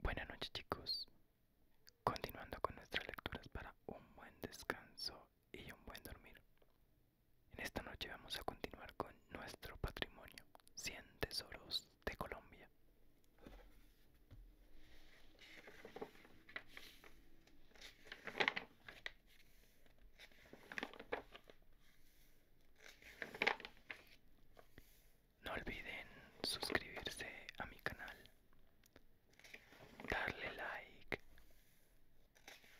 Buenas noches chicos, continuando con nuestras lecturas para un buen descanso y un buen dormir. En esta noche vamos a continuar con nuestro patrimonio, 100 tesoros de Colombia. No olviden suscribirse a mi canal, darle like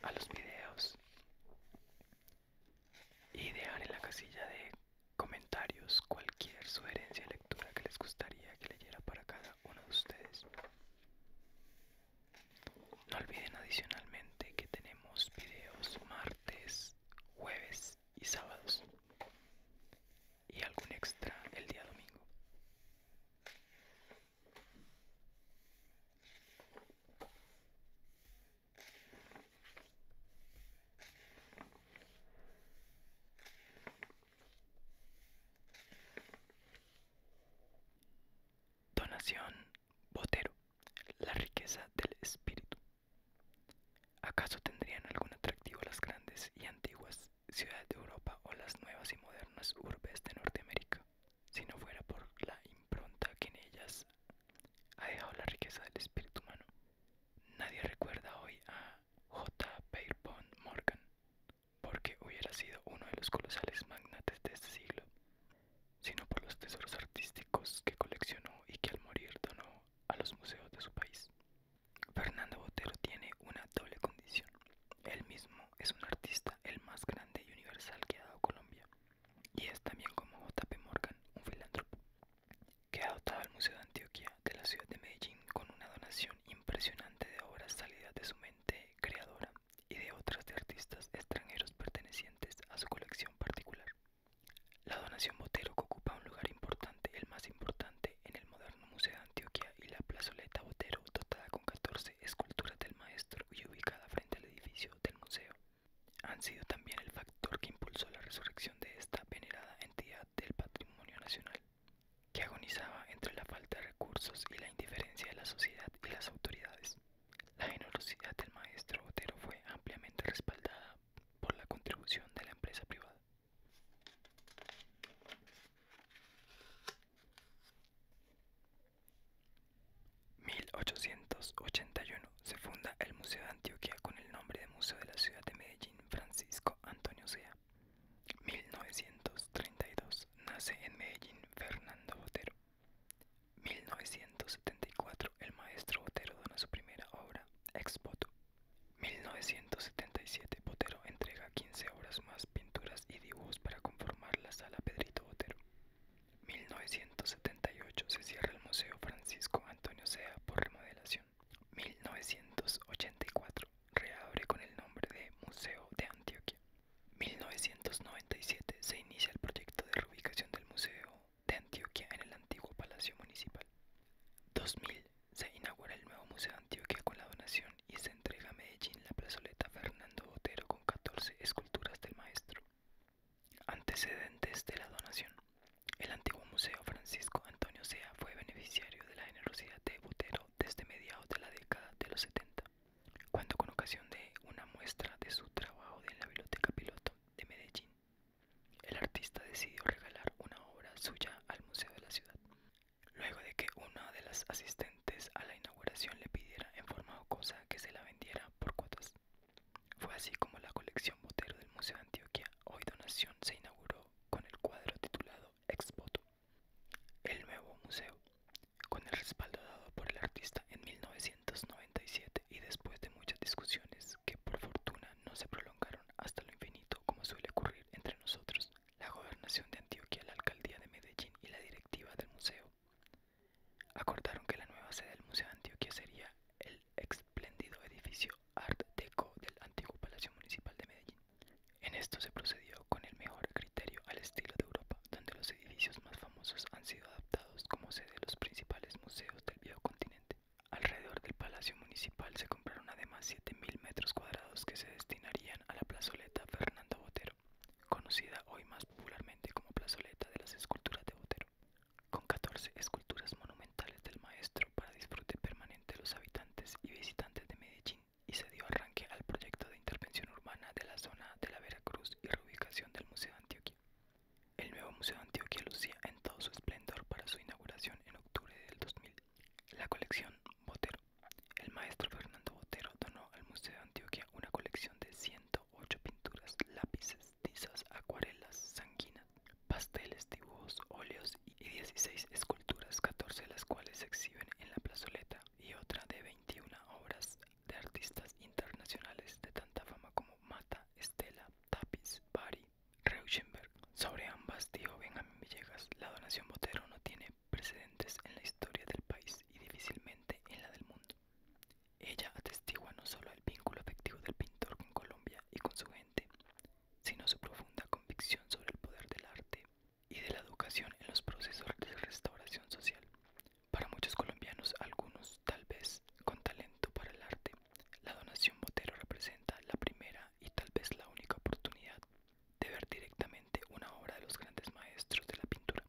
a los videos y dejar en la casilla de comentarios cualquier sugerencia de lectura que les gustaría que leyera para cada uno de ustedes. No olviden adicionalmente que tenemos videos martes, jueves y sábados y algún extra el día domingo. Donación Botero, la riqueza del espíritu. ¿Acaso tendrían algún atractivo las grandes y antiguas ciudades de Europa o las nuevas y modernas urbes de Norteamérica si no fuera por la impronta que en ellas ha dejado la riqueza del espíritu humano? Nadie recuerda hoy a J. Pierpont Morgan porque hubiera sido uno de los colosales magnates de este siglo, sino por los tesoros artísticos que coleccionó y que al morir donó a los museos de su país. Fernando Botero tiene una doble condición. Él mismo es un artista el más grande y universal que ha dado Colombia. Y es también como J.P. Morgan, un filántropo, que ha dotado al Museo de Antioquia de la ciudad de Medellín con una donación impresionante de obras salidas de su mente creadora y de otras de artistas extranjeros pertenecientes a su colección particular. La donación Botero ocupa un lugar importante, el más importante, en el moderno Museo de Antioquia y la plazoleta Botero, dotada con 14 esculturas del maestro y ubicada frente al edificio del museo, han sido también el factor que impulsó la resurrección de esta venerada entidad del patrimonio nacional, que agonizaba entre la falta de recursos y la indiferencia de la sociedad y las autoridades. La generosidad del maestro Botero fue ampliamente respaldada por la contribución de la empresa privada. 1881 se funda el Museo de Antioquia con el nombre de Museo de la Ciudad de Medellín Francisco Antonio Sea. 1932 nace en Medellín Fernando Botero. 1974 el maestro Botero dona su primera obra, Ex 1977 Botero entrega 15 horas más, pinturas y dibujos para conformar la sala Pedrito Botero. 1978 se cierra el Museo Francisco Antonio Sea por remodelación. 1984 reabre con el nombre de Museo de Antioquia. 1997 se inicia el proyecto de reubicación del museo de Antioquia en el antiguo Palacio Municipal. 2000. Se inaugura el nuevo Museo de Antioquia con la donación y se entrega a Medellín la plazoleta Fernando Botero con 14 esculturas del maestro. Antecedentes de la donación. El antiguo Museo Francisco Antonio Sea fue beneficiario de la generosidad de Botero desde mediados de la década de los 70, cuando con ocasión de una muestra de su trabajo en la Biblioteca Piloto de Medellín el artista decidió regalar una obra suya al Museo de la Ciudad, luego de que una de las asistentes a la inauguración le pidiera en forma o cosa que se la vendiera por cuotas. Fue así como la colección Botero del Museo de Antioquia, hoy donación, se inauguró con el cuadro titulado Ex el nuevo museo. Con el respaldo dado por el artista en 1997 y después de muchas discusiones que por fortuna no se prolongaron hasta lo infinito como suele ocurrir entre nosotros, la gobernación de Antioquia, la alcaldía de Medellín y la directiva del museo. Acordaron que la nueva sede del Museo de Antioquia sería el espléndido edificio Art Deco del antiguo Palacio Municipal de Medellín. En esto se procedió con el mejor criterio al estilo de Europa, donde los edificios más famosos han sido adaptados como sede de los principales museos del viejo continente. Alrededor del Palacio Municipal se compraron además 7.000 metros cuadrados que se destinarían a la plazoleta Fernando Botero, conocida hoy más popularmente como plazoleta de las esculturas de Botero, con 14 esculturas monumentales del maestro para disfrute permanente de los habitantes y visitantes de Medellín, y se dio arranque al proyecto de intervención urbana de la zona de la Veracruz y reubicación del Museo de Antioquia. El nuevo Museo de Antioquia lucía en todo su esplendor para su inauguración en octubre del 2000. La colección Botero. El maestro Fernando Botero donó al Museo de Antioquia una colección de 108 pinturas, lápices, tizas, acuarelas, sanguinas, pasteles, dibujos, óleos y 16 esculturas, 14 de las cuales se exhiben en la plazoleta y otra de 21 obras de artistas internacionales de tanta fama como Mata, Estela, Tapiz, Bari, sobre ambas dijo Benjamín Villegas, la donación Botero no tiene precedentes en la historia del país y difícilmente en la del mundo. Ella atestigua no solo el vínculo afectivo del pintor con Colombia y con su gente, sino su profunda convicción sobre el poder del arte y de la educación en los procesos de restauración social. Para muchos colombianos, algunos tal vez con talento para el arte, la donación Botero representa la primera y tal vez la única oportunidad de ver directamente una obra de los grandes maestros de la pintura.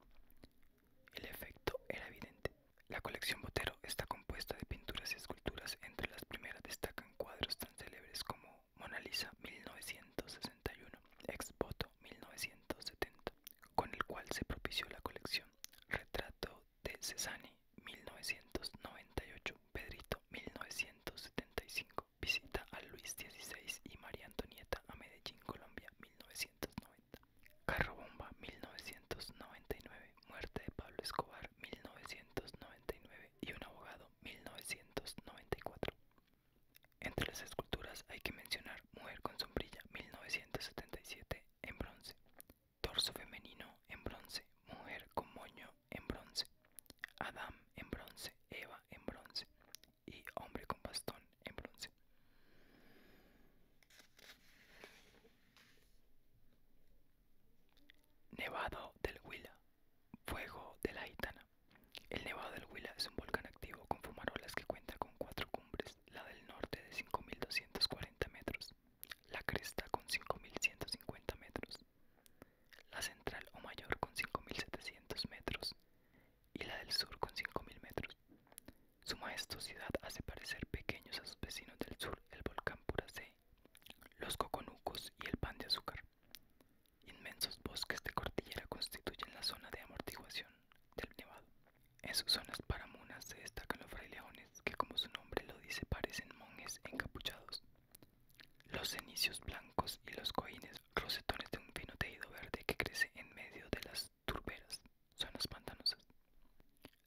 El efecto era evidente. La colección Botero está compuesta de pinturas y esculturas. Entre las primeras destacan cuadros tan célebres como Mona Lisa 1961, Expoto 1970, con el cual se propició la colección. Retrato de Cesani 1998, Pedrito 1975, visita a Luis XVI y María Antonieta a Medellín, Colombia 1990, Carro Bomba 1999, Muerte de Pablo Escobar 1999 y Un Abogado 1994. Entre las esculturas hay que mencionar Mujer con sombrilla 1977 en bronce, torso femenino en bronce, mujer con moño en bronce, Adam en bronce, Eva en bronce y hombre con bastón en bronce. Nevado del Huila, fuego de la Itana. El Nevado del Huila es un volcán activo con fumarolas que cuenta con cuatro cumbres, la del norte de 5.240 metros, la cresta con 5.150 metros, la central o mayor con 5.700 metros y la del sur con 5.000 metros. Su majestuosidad hace parecer pequeños a sus vecinos del sur el volcán Puracé, los coconucos y el pan de azúcar. Inmensos bosques de cordillera constituyen la zona de amortiguación del nevado. En sus zonas paramunas se destacan los frailejones que como su nombre lo dice parecen monjes encapuchados. Los cenicios blancos y los coines rosetones de un fino tejido verde que crece en medio de las turberas, zonas pantanosas.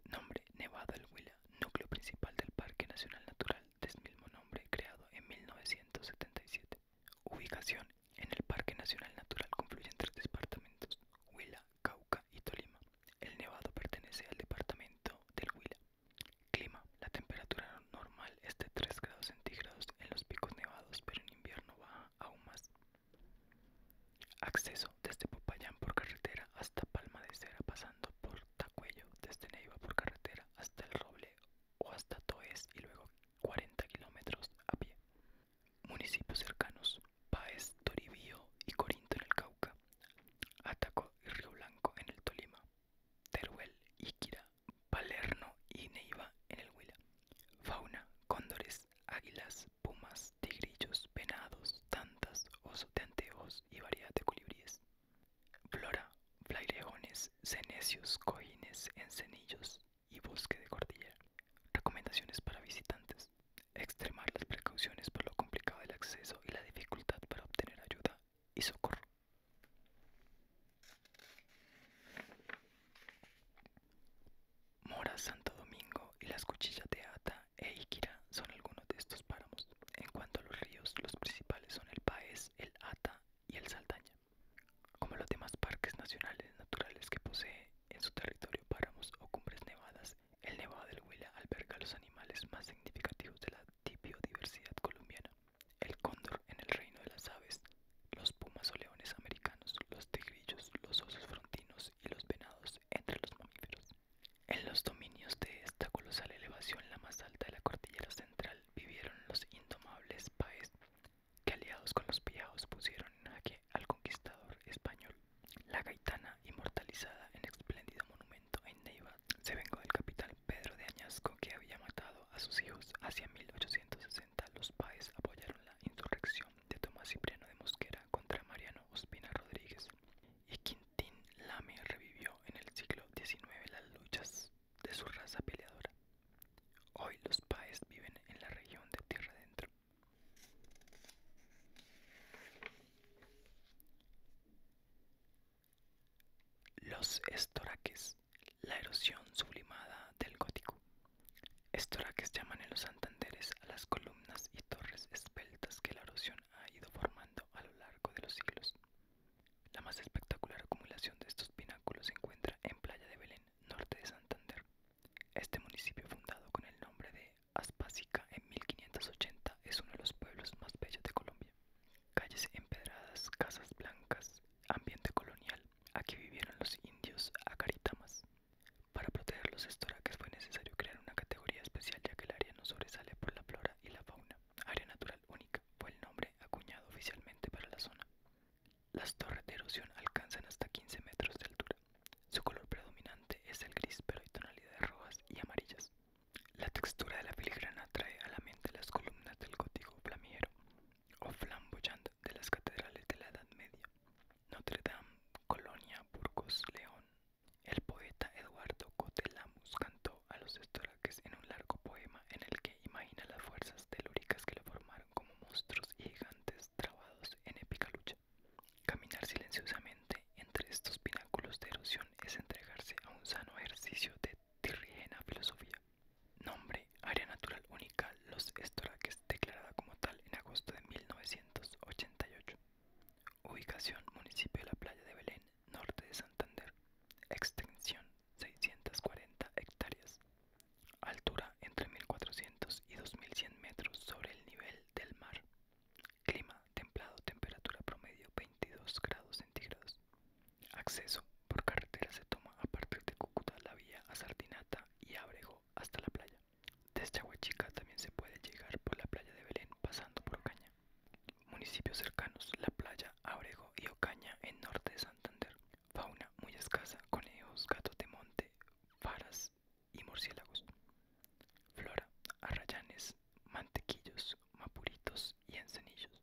Nombre Nevada del Huila, núcleo principal del Parque Nacional Natural Del mismo nombre creado en 1977. Ubicación en el Parque Nacional Natural confluyen tres departamentos, Huila, Cauca y Tolima. El Nevado pertenece al departamento del Huila, Clima. La temperatura normal es de 3 grados centígrados en los picos nevados, pero en invierno baja aún más. Acceso desde Popayán por carretera hasta Palma de Cera, pasando por Tacuello, desde Neiva por carretera hasta El Roble o hasta Toes y luego 40 kilómetros a pie. Municipios cercanos. Paes, Toribío y Corinto en el Cauca. Ataco y Río Blanco en el Tolima, Teruel, Iquira, Palerno y Neiva en el Huila. Fauna, cóndores, águilas, pumas, tigrillos, venados, tantas, osos de anteojos y variedad de colibríes. Flora, flaireones, cenecios, cojines, encenillos y bosque de cordillera. Recomendaciones para visitantes. Extremar las precauciones por lo complicado del acceso y la dificultad para obtener ayuda y socorro. Mora, Santo Domingo y las cuchillas de Ata e Iquira son algunos de estos páramos. En cuanto a los ríos, los principales son el Paez, el Ata y el Saldaña. Como los demás parques nacionales naturales que posee en su territorio páramos o cumbres nevadas el Nevado del Huila alberga los animales más significativos de la biodiversidad colombiana. El cóndor en el reino de las aves, los pumas o leones americanos, los tigrillos, los osos frontinos y los venados entre los mamíferos. En los dominios de esta colosal elevación, la más alta de la cordillera central, vivieron los indomables paes, que aliados con los pillados pusieron en jaque al conquistador español. La gaitana, inmortalizada en espléndido monumento, en Neiva se vengó del capital Pedro de Añasco que había matado a sus hijos. Hacia 1860 los paes apoyaron la insurrección de Tomás Cipriano de Mosquera contra Mariano Ospina Rodríguez y Quintín Lame revivió en el siglo XIX las luchas de su raza peleadora. Hoy los paes viven en la región de Tierra Adentro. Los estoraques, la erosión sublimada del gótico. Estoraques llaman en los Santanderes a las columnas y torres esbeltas que la erosión ha ido formando a lo largo de los siglos. La más espectacular acumulación de estos pináculos se encuentra en Playa de Belén, norte de Santander. Este municipio, fundado con el nombre de Aspásica en 1580 es uno de los pueblos más bellos de Colombia. Calles empedradas, casas blancas, ambiente colonial. Aquí vivieron los indios acaritamas. Para proteger los estoraques fue necesario crear una categoría especial ya que el área no sobresale por la flora y la fauna. Área natural única fue el nombre acuñado oficialmente para la zona. Las torres de erosión alcanzan hasta 15 metros de altura. Su color predominante es el gris, pero hay tonalidades rojas y amarillas. La textura de la filigrana trae a la mente las columnas del gótico flamiero o flamboyante de las catedrales de la Edad Media, Notre Dame, Colonia, Burgos, León. El poeta Eduardo Cotelamus cantó a los estoraques en un largo poema en el que imagina las fuerzas telúricas que lo formaron como monstruos y gigantes trabados en épica lucha. Caminar silenciosamente entre estos pináculos de erosión es entregarse a un sano ejercicio de tirrigena filosofía. Nombre, área natural única, Los Estoraques, declarada como tal en agosto de 1988. Ubicación, municipio de la playa de Belén, norte de Santander. Extensión, 640 hectáreas. Altura, entre 1400 y 2100 metros sobre el nivel del mar. Clima templado, temperatura promedio 22 grados centígrados. Acceso por carretera se toma a partir de Cúcuta, la vía a Sardinata y Abrego hasta la playa. Desde Chahuachica también se puede llegar por la playa de Belén pasando por Ocaña. Municipios cercanos, la playa Abrego y Ocaña en norte de Santander. Fauna muy escasa, conejos, gatos de monte, faras y murciélagos. Flora, arrayanes, Mantequillos, Mapuritos y Encenillos.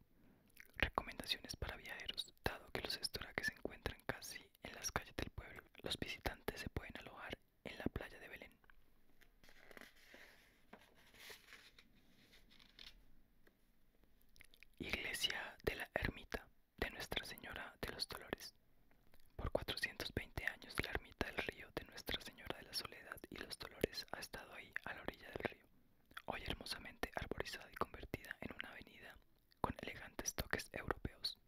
Recomendaciones para viajeros. Dado que los estoraques se encuentran casi en las calles del pueblo, los visitantes se pueden alojar en la playa de Belén. Iglesia de la Ermita de Nuestra Señora de los Dolores. Por 420 años la ermita del río de Nuestra Señora de la Soledad y los Dolores ha estado ahí a la orilla del río, hoy hermosamente arborizada y convertida en una avenida con elegantes toques europeos,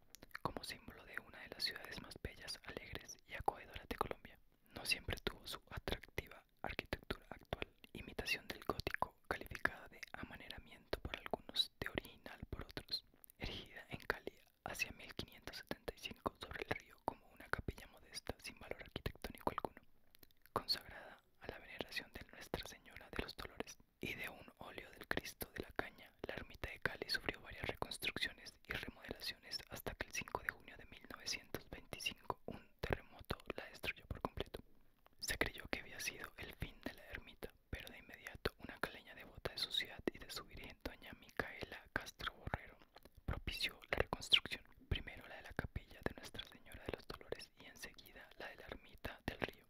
como símbolo de una de las ciudades más bellas, alegres y acogedoras de Colombia. No siempre tuvo su atractiva arquitectura actual, imitación del gótico, calificada de amaneramiento por algunos, de original por otros, erigida en calidad hacia 1575 sobre el río como una capilla modesta sin valor arquitectónico alguno, consagrada a la veneración de Nuestra Señora de los Dolores y de un óleo del Cristo de la Caña. La ermita de Cali sufrió varias reconstrucciones y remodelaciones hasta que el 5 de junio de 1925 un terremoto la destruyó por completo. Se creyó que había sido el fin de la ermita, pero de inmediato una caleña devota de su ciudad y de su virgen, doña Micaela Castro Borrero, propició la reconstrucción, primero la de la capilla de Nuestra Señora de los Dolores y enseguida la de la ermita del río.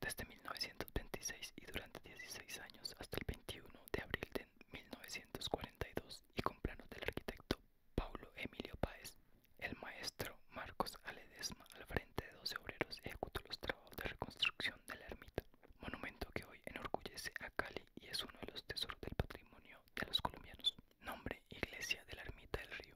Desde 1926 y durante 16 años hasta el 21 de abril de 1942 y con planos del arquitecto Paulo Emilio Páez, el maestro Marcos Aledesma al frente de 12 obreros ejecutó los trabajos de reconstrucción de la ermita, monumento que hoy enorgullece a Cali y es uno de los tesoros del patrimonio de los colombianos. Nombre, Iglesia de la Ermita del Río.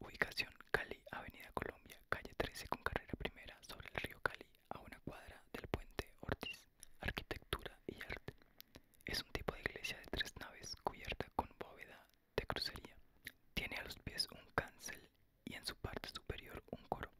Ubicación, Cali, Avenida Colombia, calle 13 con carrera primera sobre el río Cali, a una cuadra del puente Ortiz. Arquitectura y arte. Es un tipo de iglesia de tres naves cubierta con bóveda de crucería. Tiene a los pies un cancel y en su parte superior un coro.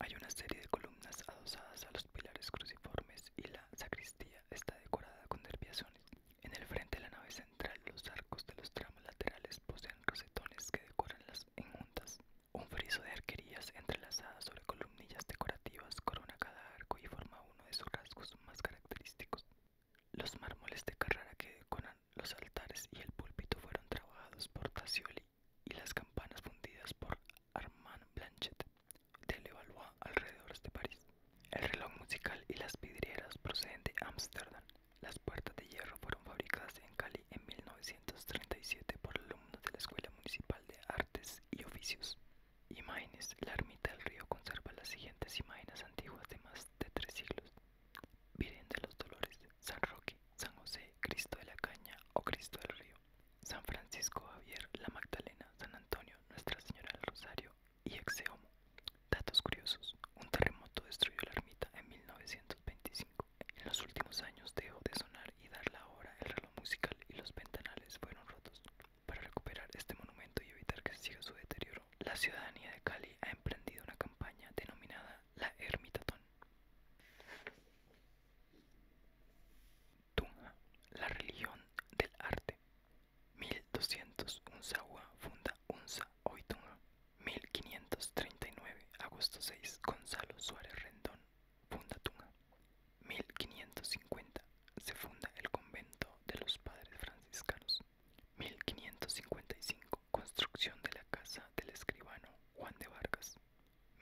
Hay una serie de columnas adosadas a los pilares cruciformes y la sacristía está decorada con derviaciones. En el frente de la nave central, los arcos de los tramos laterales poseen rosetones que decoran las enjuntas. Un friso de arquerías entrelazadas sobre columnillas decorativas corona cada arco y forma uno de sus rasgos más característicos. Los mármoles de Carrara que decoran los altares y el púlpito fueron trabajados por Tassioli y las campanas fundidas por Armand Blanchet de evalúa alrededor de París. El reloj musical y las vidrieras proceden de Ámsterdam. Las puertas de hierro fueron fabricadas en Cali en 1937 por alumnos de la Escuela Municipal de Artes y Oficios. Imágenes. La ermita del río conserva las siguientes imágenes antiguas de más de tres siglos. Virgen de los Dolores, San Roque, San José, Cristo de la Caña o Cristo del Río. San Francisco Javier, La Magdalena, San Antonio, Nuestra Señora del Rosario y Exeomo. Datos curiosos. Un terremoto destruyó la ermita en 1925. En los últimos años dejó de sonar y dar la hora el reloj musical y los ventanales fueron rotos. Para recuperar este monumento y evitar que siga su deterioro, la ciudadanía de Cali ha emprendido una campaña denominada La Ermitatón. Tunga, la religión del arte. 1200 Unzagua funda Unza hoy Tunja. 1539 Agosto 6 Gonzalo Suárez Rendón funda Tunga 1550 se funda el convento de los padres franciscanos. 1555 Construcción de la casa del escribano Juan de Vargas.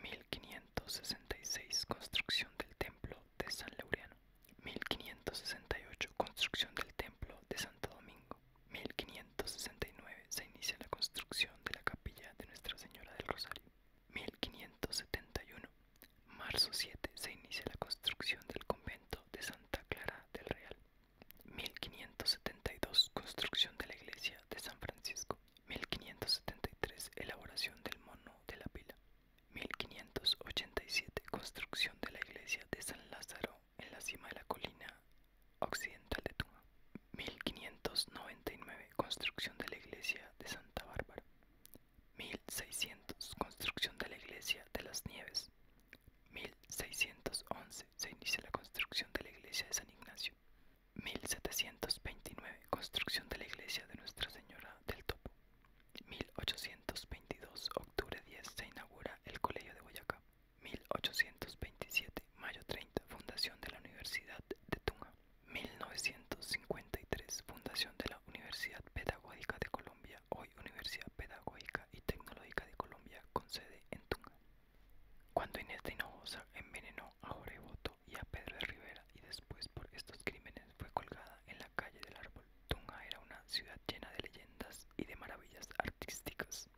1566 construcción del templo de San Laureano 1568 construcción del templo de Santo Domingo 1569 se inicia la construcción de la capilla de Nuestra Señora del Rosario 1571 marzo 7 se inicia la construcción del convento de Santa Clara del Real 1572 construcción de la iglesia de San Francisco 1573 elaboración del mono de la pila 1587 construcción de la iglesia de San Lázaro en la cima de la colina occidental de Tuma 1599 construcción de la iglesia de Santa Bárbara 1600 construcción de la iglesia de las Nieves 1611 se inicia la construcción de la iglesia de San Ignacio 1729 construcción de la iglesia de Nuestra Señora del Topo. 1822, octubre 10, se inaugura el Colegio de Boyacá. 1827, mayo 30, fundación de la Universidad de Tunja. 1953, fundación de la Universidad Pedagógica de Colombia, hoy Universidad Pedagógica y Tecnológica de Colombia, con sede en Tunga. Cuando Inés de Hinojosa envenenó a Oreboto y a Pedro de Rivera y después por estos crímenes fue colgada en la calle del árbol. Tunga era una ciudad llena de leyendas y de maravillas artísticas.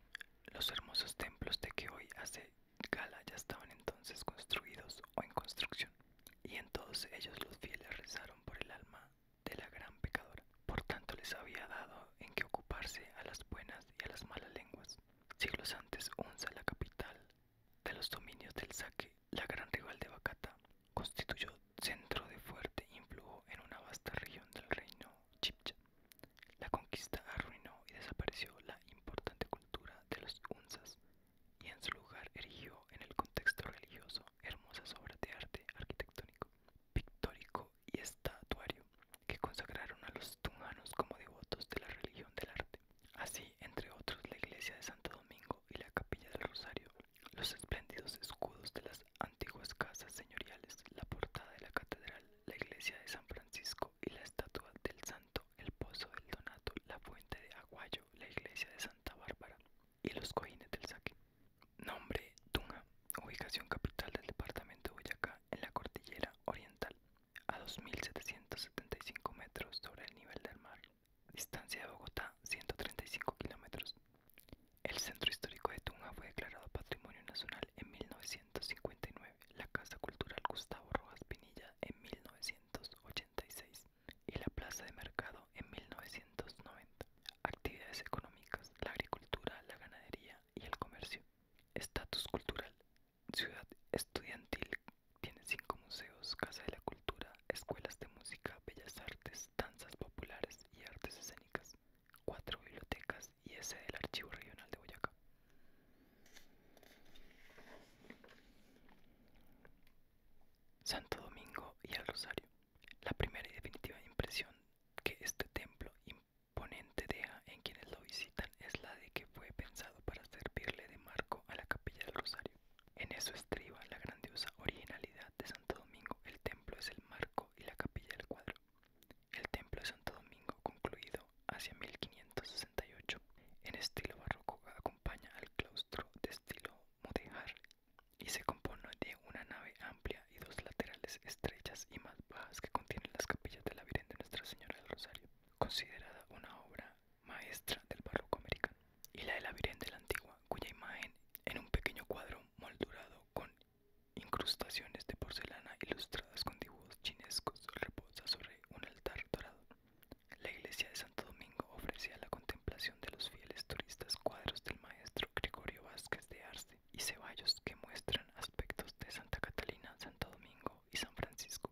Los hermosos templos de que hoy hace gala ya estaban entonces construidos o en construcción, y en todos ellos los fieles rezaron por el alma de la gran pecadora. Por tanto les había dado en que ocuparse a las buenas y a las malas lenguas. Siglos antes Unza, la capital, de los dominios del saque, la gran rival de Bacata, constituyó centro de fuerte influjo en una vasta región del reino Chipcha. La conquista arruinó y desapareció la importante cultura de los Unzas y en su lugar erigió en el contexto religioso hermosas obras de arte arquitectónico, pictórico y estatuario que consagraron a los Tunganos como devotos de la religión del arte. Así, entre otros, la iglesia de Santo Domingo y la capilla del Rosario, los espléndidos escudos de las antiguas casas señoriales, la portada de la catedral, la iglesia de San Francisco y la estatua del santo, el pozo del Donato, la fuente de Aguayo, la iglesia de Santa Bárbara y los cojines del saque. Nombre Tunga, ubicación capital del departamento de Boyacá en la cordillera oriental, a 2.775 metros sobre el nivel del mar. Distancia de Bogotá, 135 kilómetros. El centro histórico de Tunja fue declarado Patrimonio Nacional en 1959, la Casa Cultural Gustavo Rojas Pinilla en 1986 y la Plaza de Mercado en 1990. Actividades económicas, la agricultura, la ganadería y el comercio. Estatus cultural, ciudad estudiantil tiene cinco museos, Casa de la Cultura, escuelas de música, bellas artes, danzas populares y artes escénicas, cuatro bibliotecas y ese del Archivo Regional de Boyacá. Santo Domingo y el Rosario. La primera y definitiva impresión que este templo imponente deja en quienes lo visitan es la de que fue pensado para servirle de marco a la capilla del Rosario. En eso estriba la grandiosa originalidad de Santo Domingo. El templo es el marco y la capilla el cuadro. El templo de Santo Domingo, concluido hacia 1568, en estilo barroco acompaña al claustro de estilo mudéjar y se compone de una nave amplia y dos laterales estrechas y más bajas que contienen las capillas de la Virgen de Nuestra Señora del Rosario, considerada una obra maestra del barroco americano, y la de la Virgen de la Antigua, cuya imagen en un pequeño cuadro moldurado con incrustaciones de porcelana ilustradas con dibujos chinescos reposa sobre un altar dorado. La iglesia de Santo Domingo ofrecía a la contemplación de los fieles turistas cuadros del maestro Gregorio Vázquez de Arce y Ceballos que muestran aspectos de Santa Catalina, Santo Domingo y San Francisco.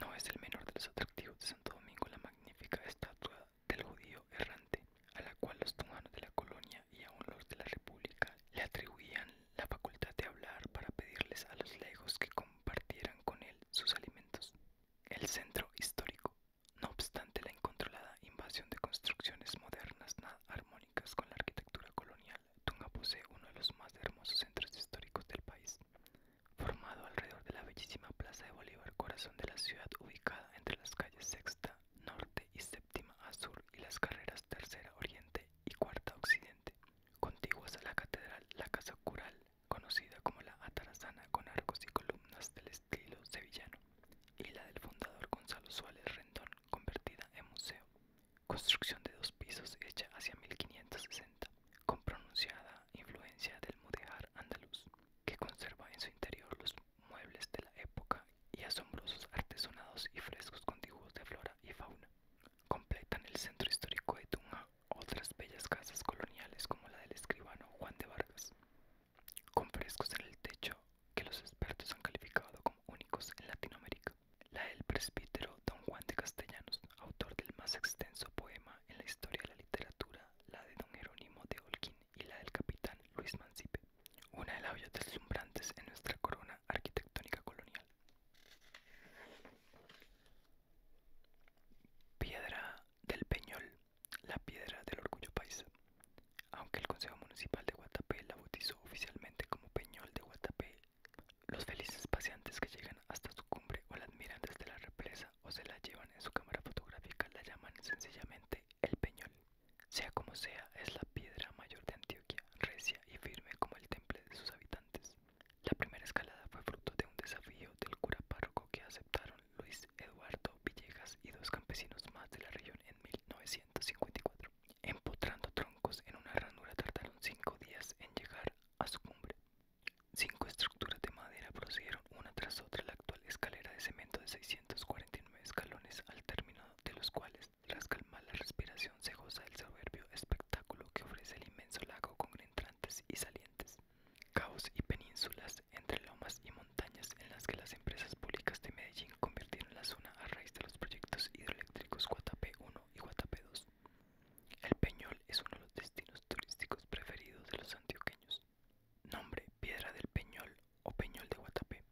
No es el menor de los atractivos de Santo Domingo la magnífica estatua del judío errante, a la cual los tunganos de la colonia y aún los de la república le atribuían la facultad de hablar para pedirles a los lejos que compartieran con él sus alimentos. El centro histórico, no obstante la incontrolada invasión de construcciones modernas nada armónicas con la arquitectura colonial, Tunga posee uno de los más hermosos centros históricos del país formado alrededor de la bellísima Plaza de Bolívar, corazón de la ciudad ubicada entre las calles Sexta Norte y Séptima a Sur y las carreras Tercera Oriente y Cuarta Occidente, contiguas a la catedral, la casa cural, conocida como la Atarazana con arcos y columnas del estilo sevillano, y la del fundador Gonzalo Suárez Rendón, convertida en museo. Construcción de dos pisos hecha hacia 1560 con pronunciada influencia del mudéjar andaluz, que conserva en su interior los muebles de la época y asombrosos artesonados y frescos contiguos de flora y fauna. Completan el centro histórico de Tunja otras bellas casas coloniales como la del escribano Juan de Vargas, con frescos en el techo que los expertos han calificado como únicos en Latinoamérica. La del presbítero Don Juan de Castellanos, autor del más extenso poema en la historia de la literatura, la de Don Jerónimo de Holquín y la del capitán Luis Mancipe, una de las joyas deslumbrantes en nuestra corona arquitectónica colonial. Piedra del Peñol, la piedra del orgullo paisa. Aunque el Consejo Municipal de Guatapé la bautizó oficialmente como Peñol de Guatapé, los felices paseantes que llegan hasta su cumbre o la admiran desde la represa o se la llevan en su cámara fotográfica la llaman sencillamente el Peñol. Sea como sea, es la piedra mayor de Antioquia, recia y firme como el temple de sus habitantes. La primera escalada fue fruto de un desafío del cura párroco que aceptaron Luis Eduardo Villegas y dos campesinos más de la región en 1954. Empotrando troncos en una ranura tardaron cinco días en llegar a su cumbre. Cinco estructuras de madera prosiguieron una tras otra la actual escalera de cemento de 649 escalones, al término de los cuales, tras calmar la respiración, se goza del soberbio espectáculo que ofrece el inmenso lago con entrantes y salientes, caos y penínsulas entre lomas y montañas en las que las empresas públicas de Medellín convirtieron la zona a raíz de los proyectos hidroeléctricos Guatapé 1 y Guatapé 2. El Peñol es uno de los destinos turísticos preferidos de los antioqueños. Nombre: Piedra del Peñol o Peñol de Guatapé.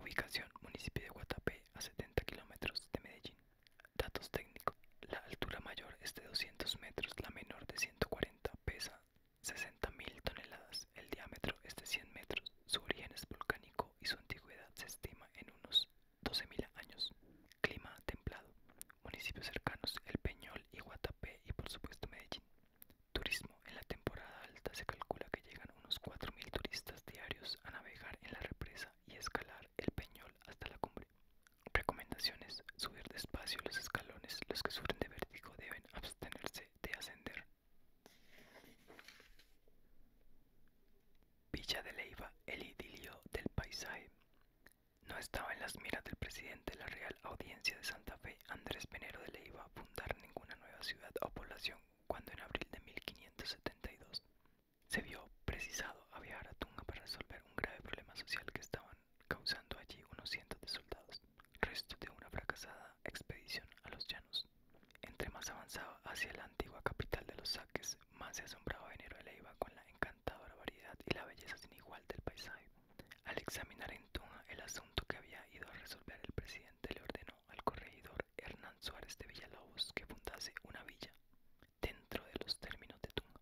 Ubicación: Municipio de Guatapé, a 70 kilómetros de Medellín. Datos técnicos: La altura mayor es de 200 metros, la menor de 140, pesa 60.000 toneladas, el diámetro es de 100 metros, su origen es volcánico y su antigüedad se estima en unos 12.000 años. Clima templado municipios cercanos El Peñol y Guatapé y por supuesto Medellín. Turismo. En la temporada alta se calcula que llegan unos 4.000 turistas diarios a navegar en la represa y escalar el Peñol hasta la cumbre. Recomendaciones. Subir despacio los escalones. Los que sufren de vértigo deben abstenerse de ascender. Villa de Leiva, el idilio del paisaje. No estaba en las miras del presidente de la Real Audiencia de Santa Fe, Andrés Venero de Leiva, fundar ninguna nueva ciudad o población cuando en abril de 1572 se vio precisado a viajar a Tunga para resolver un grave problema social que estaban causando allí unos cientos de soldados, restos de una fracasada expedición a los llanos. Entre más avanzaba hacia la antigua capital de los saques, más se asombraba Venero de Leiva con la la variedad y la belleza sin igual del paisaje. Al examinar en Tunga el asunto que había ido a resolver el presidente le ordenó al corregidor Hernán Suárez de Villalobos que fundase una villa dentro de los términos de Tunga,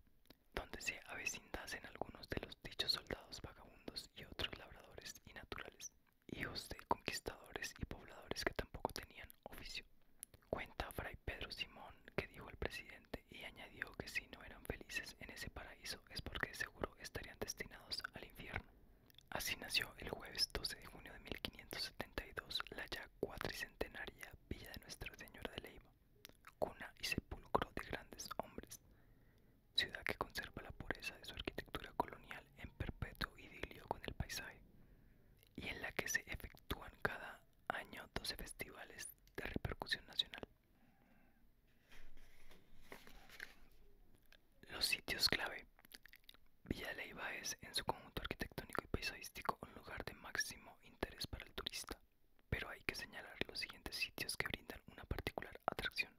donde se avecindasen algunos de los dichos soldados vagabundos y otros labradores y naturales, hijos de conquistadores y pobladores que tampoco tenían oficio. Cuenta Fray Pedro Simón que dijo el presidente y añadió que si no eran felices en ese paraíso es porque seguro estarían destinados al infierno. Así nació el jueves 12 de junio de 1572 la ya cuatricentenaria villa de Nuestra Señora de Leiva, cuna y sepulcro de grandes hombres, ciudad que conserva la pureza de su arquitectura colonial en perpetuo idilio con el paisaje, y en la que se efectúan cada año 12 festivales de repercusión nacional. Los sitios clave. Villa Leiva es, en su conjunto arquitectónico y paisajístico, un lugar de máximo interés para el turista, pero hay que señalar los siguientes sitios que brindan una particular atracción.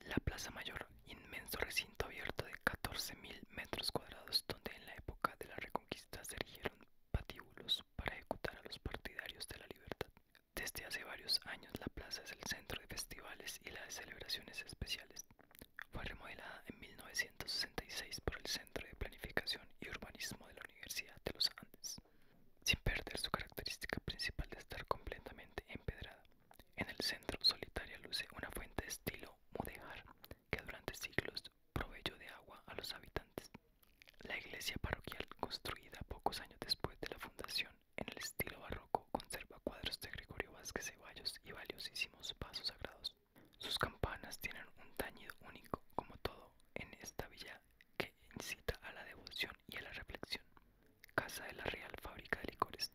La Plaza Mayor, inmenso recinto abierto de 14.000 metros cuadrados donde en la época de la Reconquista se erigieron patíbulos para ejecutar a los partidarios de la libertad. Desde hace varios años la plaza es el centro de festivales y las de celebraciones especiales. Fue remodelada en 1966 por el Centro de Planificación y Urbanismo de la Universidad de los Andes, sin perder su característica principal de estar completamente empedrada. En el centro solitaria luce una fuente de estilo mudéjar que durante siglos proveyó de agua a los habitantes. La iglesia parroquial, construida pocos años después de la fundación en el estilo barroco, conserva cuadros de Gregorio Vázquez Ceballos y valiosísimos pasos sagrados. Sus campanas tienen un tañido único, como todo en esta villa, que incita a la devoción y a la reflexión. Casa de la Real Fábrica de Licores.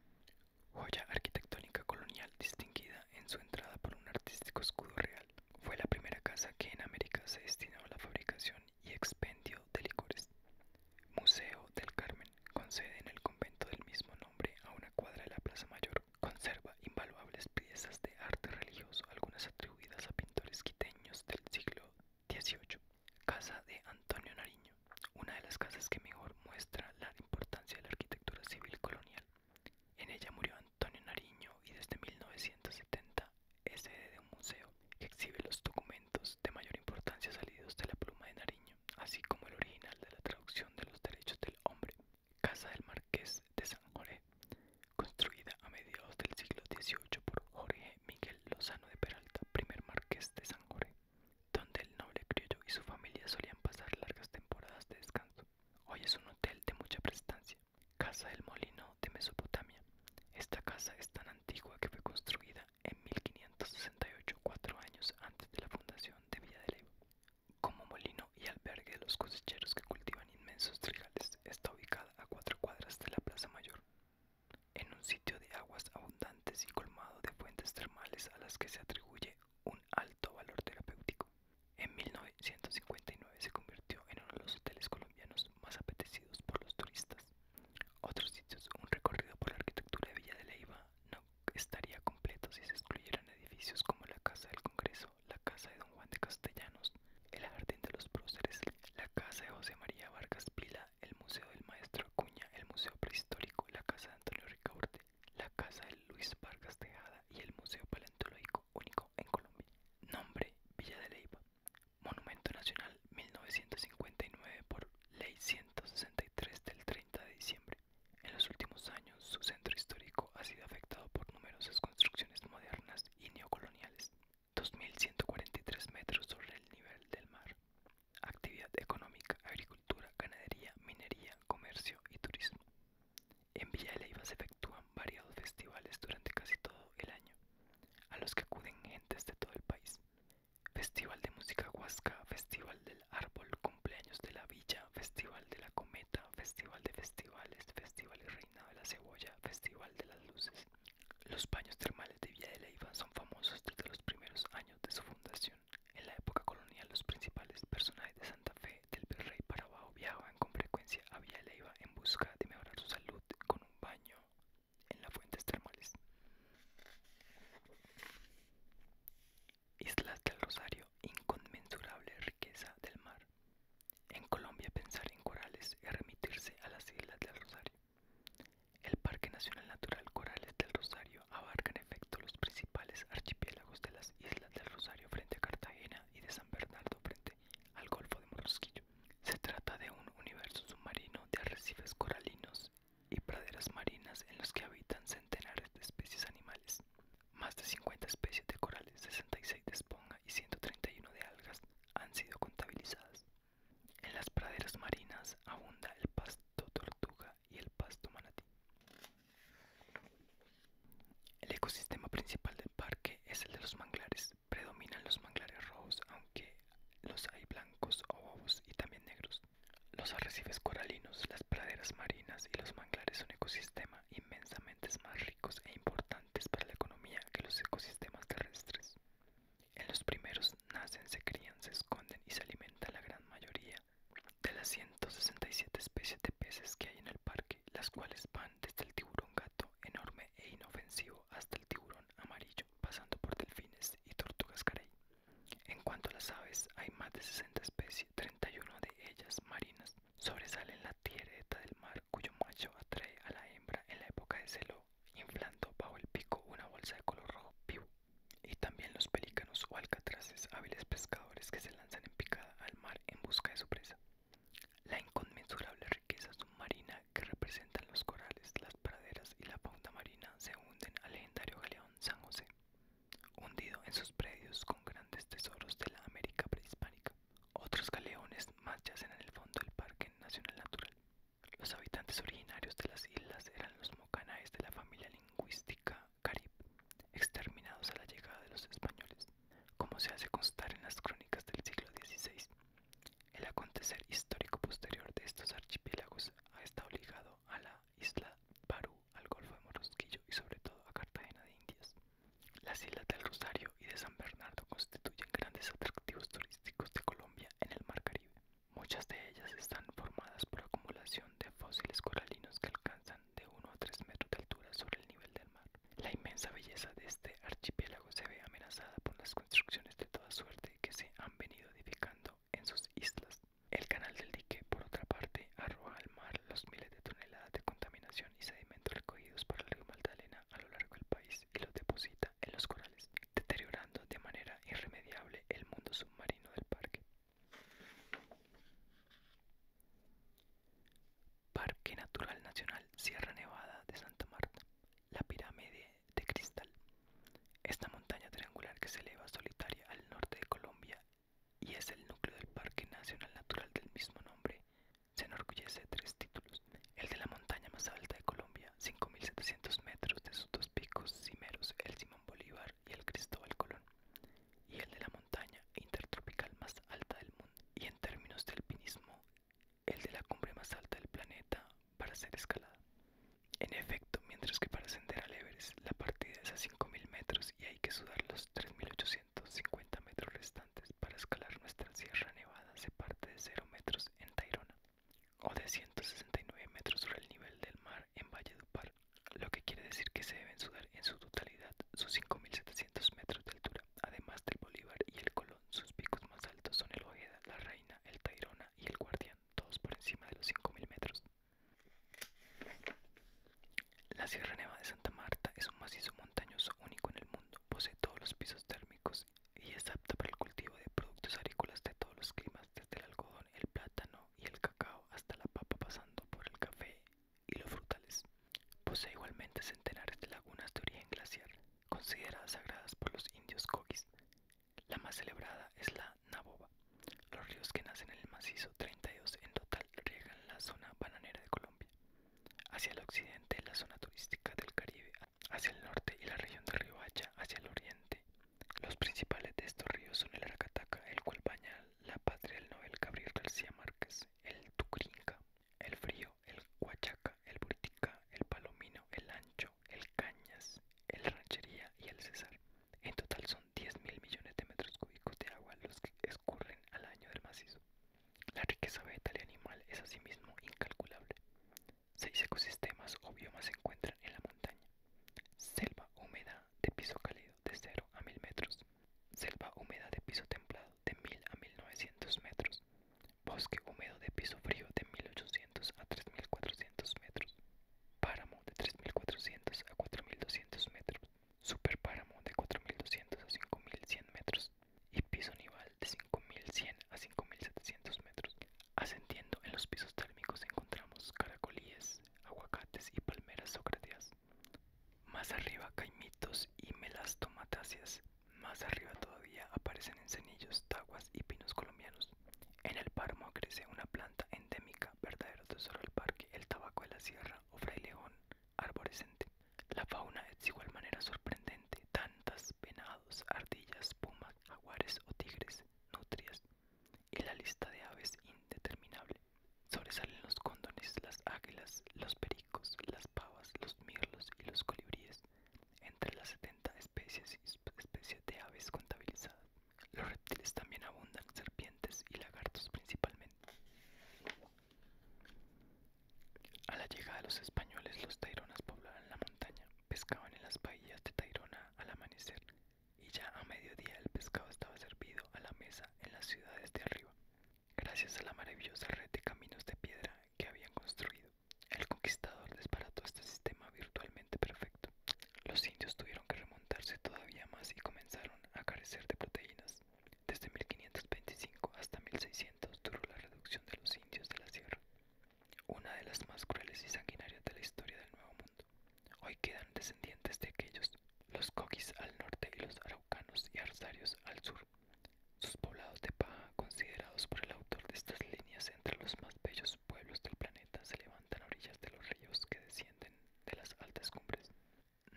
Joya arquitectónica colonial distinguida en su entrada por un artístico escudo real fue la primera casa que en América se destinó a la fabricación y expendio de licores. Museo del Carmen, con sede en el convento del mismo nombre a una cuadra de la Plaza Mayor, conserva invaluables piezas de arte religioso, algunas atribuidas a pintores quiteños del siglo XVIII. Casa de Antonio Nariño, una de las casas que mejor muestra la importancia de la arquitectura civil colonial. En ella murió Antonio Nariño y desde 1970 es sede de un museo que exhibe los documentos de mayor importancia salidos de la pluma de Nariño, así como el original de la traducción de los derechos del hombre. Casa del Marqués de San Jorge, construida a mediados del siglo XVIII por Jorge Miguel Lozano de Peralta, primer Marqués de San Jorge, donde el noble criollo y su familia solían pasar largas temporadas de descanso. Hoy es un hotel de mucha prestancia Casa del Molino de Mesopotamia. Esta casa es tan antigua que fue construida en 1568, cuatro años antes de la fundación de Villa de Como molino y albergue de los cosecheros que cultivan inmensos trigales, está ubicada a cuatro cuadras de la Plaza Mayor, en un sitio de aguas abundantes y colmado de fuentes termales a las que se atribuye un alto valor terapéutico. En 1959 se convirtió en uno de los hoteles colombianos más apetecidos por los turistas. Otros sitios, un recorrido por la arquitectura de Villa de Leiva no estaría completo si se excluyeran edificios como la Casa del Congreso, la Casa de Don Juan de Castellanos, el Jardín de los Próceres, la Casa de José María Vargas Pila, el Museo del Maestro Acuña, el Museo Prehistórico, la Casa de Antonio Ricaurte, la Casa de Luis Vargas Tejada y el Museo Paleontológico único en Colombia. Nombre Villa de Leyva. Monumento Nacional 1959 por Ley 163 del 30 de diciembre. En los últimos años su centro histórico ha sido afectado por numerosas construcciones modernas y neocoloniales. 2.143 metros sobre el nivel del mar. Actividad económica, agricultura, ganadería, minería, comercio y turismo. En Villa de Leiva se efectúan variados festivales durante casi todo el año, a los que acuden gentes de todo el país. Festival de Música Huasca, Festival del Árbol, Cumpleaños de la Villa, Festival de la Cometa, Festival de Festivales, Festival y Reina de la Cebolla, Festival de las Luces. Los baños termales de Villa de Leiva son famosos desde los primeros años de su fundación. En la época colonial los principales personajes de Santa Fe del Virrey Parabajo con frecuencia había Villa Leiva en busca de mejorar su salud con un baño en las fuentes termales. Islas del Rosario, inconmensurable riqueza del mar. En Colombia pensar en corales es remitirse a las Islas del Rosario. El Parque Nacional Natural Corales del Rosario abarca en efecto los principales archipiélagos de las Islas del Rosario frente a Cartagena y de San Bernardo frente al Golfo de Morrosquillo. Se trata de un universo submarino de arrecifes coralinos y praderas marinas en los que habitan centenares de especies animales. Más de 50 especies de corales, 66 de esponja y 131 de algas han sido contabilizadas. En las praderas marinas abunda el pasto tortuga y el pasto manatí. El ecosistema principal del parque es el de los manglares, predominan los manglares rojos, aunque los hay blancos o bobos y también negros. Los arrecifes coralinos, las praderas marinas y los manglares son ecosistemas inmensamente más ricos e importantes para la economía que los ecosistemas terrestres. En los primeros nacen, se crían, se esconden y se alimenta la gran mayoría de las 167 especies de peces que hay en el parque las cuales van desde el tiburón gato enorme e inofensivo hasta el tiburón amarillo, pasando por delfines y tortugas carey. En cuanto a las aves, hay más de 60 especies, 31 de ellas marinas. Sobresalen la tiereta del mar, cuyo macho atrae a la hembra en la época de celo, inflando bajo el pico una bolsa de color rojo vivo. Y también los pelícanos o alcatraces, hábiles pescadores que se lanzan en picada al mar en busca de su presa. La inconmensurable riqueza submarina que representan los corales, las praderas y la fauna marina se hunden al legendario galeón San José, hundido en sus predios con grandes tesoros de la América prehispánica. Otros galeones más yacen en el fondo del Parque Nacional Natural. Los habitantes originarios de las islas eran los mocanaes de la familia lingüística carib, exterminados a la llegada de los españoles como se hace constar en las crónicas del siglo XVI. El acontecer histórico posterior de estos archipiélagos ha estado ligado a la isla Parú, al Golfo de Morosquillo y sobre todo a Cartagena de Indias. Las islas del Rosario y de San Bernardo constituyen grandes atractivos turísticos de Colombia en el Mar Caribe. Muchas de ellas están formadas por acumulación de fósiles coralinos que alcanzan de 1 a 3 metros de altura sobre el nivel del mar. La inmensa belleza de este archipiélago se ve amenazada por las construcciones de toda suerte que se han venido edificando en sus islas. El canal del dique, por otra parte, arroja al mar los miles de toneladas de contaminación y sedimentos recogidos por el río Magdalena a lo largo del país y los deposita en los corales, deteriorando de manera irremediable el mundo submarino del parque. Parque Natural Nacional Sierra Nevada de Santa Marta, la pirámide de cristal. Esta montaña triangular que se eleva solitaria al norte de Colombia y es el núcleo del Parque Nacional Natural del mismo nombre, se enorgullece de tres títulos. El de la montaña más alta de Colombia, 5.700 metros de sus dos picos cimeros, el Simón Bolívar y el Cristóbal Colón. Y el de la montaña intertropical más alta del mundo. Y en términos de alpinismo, el de la cumbre más alta del planeta, para ser escalada. En efecto, mientras que para ascender al Everest la partida es a 5.000 metros y hay que sudar los 3.850 metros restantes para escalar nuestra Sierra Nevada se parte de 0 metros en Tairona o de 169 metros sobre el nivel del mar en Valle Par, lo que quiere decir que se deben sudar en su totalidad sus 5.700 metros de altura. Además del Bolívar y el Colón, sus picos más altos son el Ojeda, la Reina, el Tairona y el Guardián, todos por encima de los 5.000 metros. La Sierra Neva de Santa Marta es un macizo montañoso único en el mundo, posee todos los pisos térmicos y es apta para el cultivo de productos agrícolas de todos los climas, desde el algodón, el plátano y el cacao hasta la papa, pasando por el café y los frutales. Posee igualmente centenares de lagunas de origen glacial, consideradas sagradas por los indios coquis. La más celebrada es la Naboba. Los ríos que nacen en el macizo, 32 en total, riegan la zona bananera de Colombia. Hacia el occidente, la zona turística del Caribe, hacia el norte y la región de Hacha, hacia el oriente. Los principales de estos ríos son el Aracataca, el cual la patria del nobel Gabriel García Márquez, el Tucrinca, el frío, el huachaca, el burtica, el palomino, el ancho, el cañas, el ranchería y el césar. En total son 10 mil millones de metros cúbicos de agua los que escurren al año del macizo. La riqueza vegetal y animal es asimismo incalculable. Seis ecosistemas o biomas se encuentran en la montaña. Selva húmeda de piso cálido de 0 a 1000 metros. Selva húmeda de piso templado de 1000 a 1900 metros, bosque húmedo de piso frío de 1800 a 3400 metros, páramo de 3400 a 4200 metros, superpáramo de 4200 a 5100 metros y piso nival de 5100 a 5700 metros. Ascendiendo en los pisos térmicos encontramos caracolíes, aguacates y palmeras socráticas. Más arriba caimitos y melastomatáceas. Más arriba todavía aparecen encenillos, taguas y pinos colombianos. En el páramo crece una planta endémica, verdadero tesoro del parque, el tabaco de la sierra o fraileón arborescente. La fauna es igual manera sorprendente, tantas venados, ardillas, pumas, jaguares o tigres, nutrias, y la lista de aves indeterminable. Sobresalen los cóndones, las águilas, los pericos, las pavas, los mirlos y los colibríes, entre las 70 especies especies de aves contabilizadas. Los reptiles también abundan, serpientes y lagartos principalmente. A la llegada de los españoles, los taironas poblaban la montaña, pescaban en las bahías de Tairona al amanecer, y ya a mediodía el pescado estaba servido a la mesa en las ciudades de arriba. Gracias a la maravillosa red de caminos de piedra que habían construido, el conquistador desbarató este sistema virtualmente perfecto. Los indios tuvieron que remontarse todavía más y comenzaron a carecer de proteínas. Desde 1525 hasta 1600 duró la reducción de los indios de la sierra, una de las más crueles y sanguinarias de la historia del Nuevo Mundo. Hoy quedan descendientes de aquellos, los coquis al norte y los araucanos y arsarios al sur. Sus poblados de paja, considerados por el autor de estas líneas entre los más bellos pueblos del planeta, se levantan a orillas de los ríos que descienden de las altas cumbres.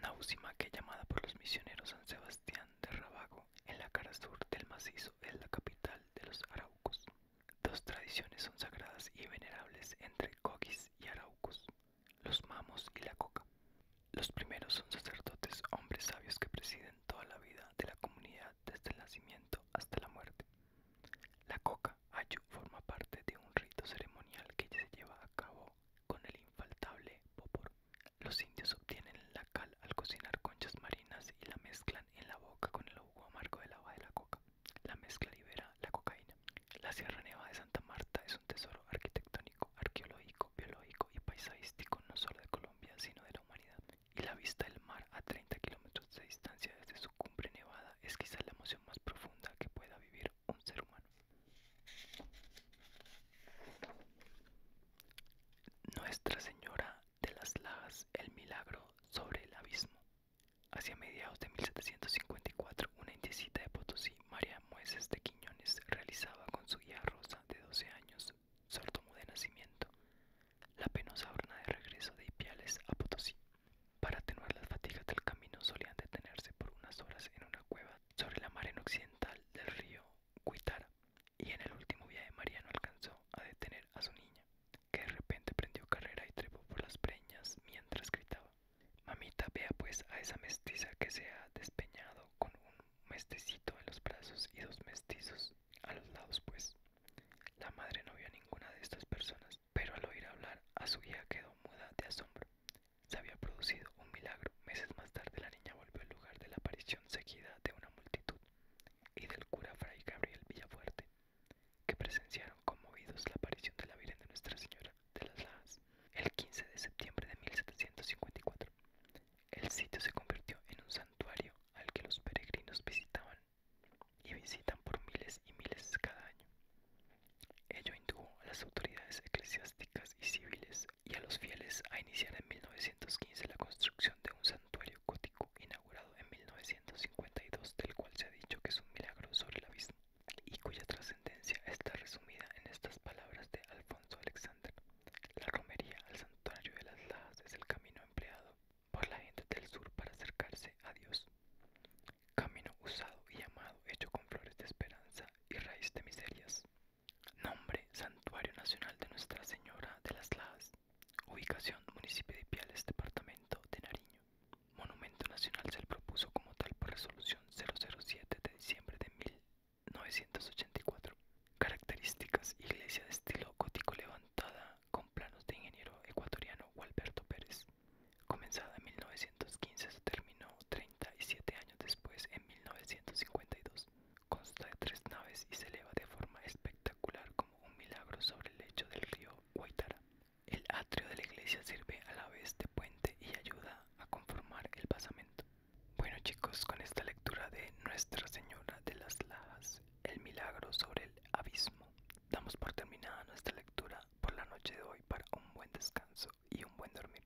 Náusima, que llamada por los misioneros San Sebastián de Rabago, en la cara sur del macizo, es la capital de los araucos. Dos tradiciones son sagradas y venerables entre coquis y araucos, los mamos y la coca. Los primeros son sacerdotes, hombres sabios que presiden toda la vida de la comunidad desde el nacimiento hasta la muerte. La coca ayu forma parte de un rito ceremonial que se lleva a cabo con el infaltable popor. Los indios obtienen la cal al cocinar conchas marinas y la mezclan en la boca con el agua amargo de la de la coca. La mezcla libera la cocaína. La Sierra Neva de Santa Marta es un tesoro arquitectónico arqueológico, biológico y paisajístico no solo de Colombia sino de la humanidad. Y la vista del mar a 30 kilómetros de distancia desde su cumbre nevada es quizás la emoción más profunda que pueda vivir un ser humano. Nuestra Señora de las Lajas, el milagro sobre el abismo. Hacia mediados de 1754, una indícita de Potosí, María Mueces de Quiñones, realizaba con su guía Rosa de 12 años años, de nacimiento, la penosa jornada de regreso de Ipiales a Potosí. Para atenuar las fatigas del camino solían detenerse por unas horas en una cueva sobre la mar en occidental del río Cuitara, y en el último día de Mariano alcanzó a detener a su niña, que de repente prendió carrera y trepó por las preñas mientras gritaba. Mamita, vea pues a esa mestiza que se ha despeñado con un mestecito en los brazos y dos mestizos a los lados pues. La madre no vio a ninguna de estas personas, pero al oír hablar a su hija quedó muda de asombro. Se había producido un milagro. Meses más tarde la niña volvió al lugar de la aparición seguida de una multitud y del cura Fray Gabriel Villafuerte, que presenciaron conmovidos la aparición de la Virgen de Nuestra Señora de las Lajas el 15 de septiembre de 1754. El sitio se convirtió en un santuario al que los peregrinos visitaban y visitan por miles y miles cada año. Ello indujo a las autoridades eclesiásticas y civiles y a los fieles a iniciar en 1915 la construcción de un santuario gótico inaugurado en 1952 del cual se ha dicho que es un milagro sobre la vista y cuya trascendencia está resumida en estas palabras de Alfonso Alexander. La romería al santuario de las Lajas es el camino empleado por la gente del sur para acercarse a Dios. Camino usado y amado, hecho con flores de esperanza y raíz de miserias. Nombre, Santuario Nacional de Nuestra Señora de las Lajas. Ubicación, municipio de Piales, departamento de Nariño. Monumento Nacional se le propuso como tal por resolución 007 de diciembre de 984. Características: Iglesia de estilo gótico levantada con planos de ingeniero ecuatoriano Walberto Pérez. Comenzada en 1915, se terminó 37 años después en 1952. Consta de tres naves y se eleva de forma espectacular como un milagro sobre el lecho del río Guaitara. El atrio de la iglesia sirve a la vez de puente y ayuda a conformar el basamento. Bueno chicos, con esta lectura de Nuestra Señora de las Lajas, el milagro sobre el abismo, damos por terminada nuestra lectura por la noche de hoy para un buen descanso y un buen dormir.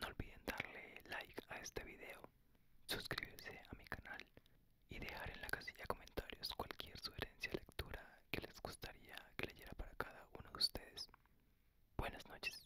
No olviden darle like a este video, suscribirse a mi canal y dejar en la casilla comentarios cualquier sugerencia de lectura que les gustaría que leyera para cada uno de ustedes. Buenas noches.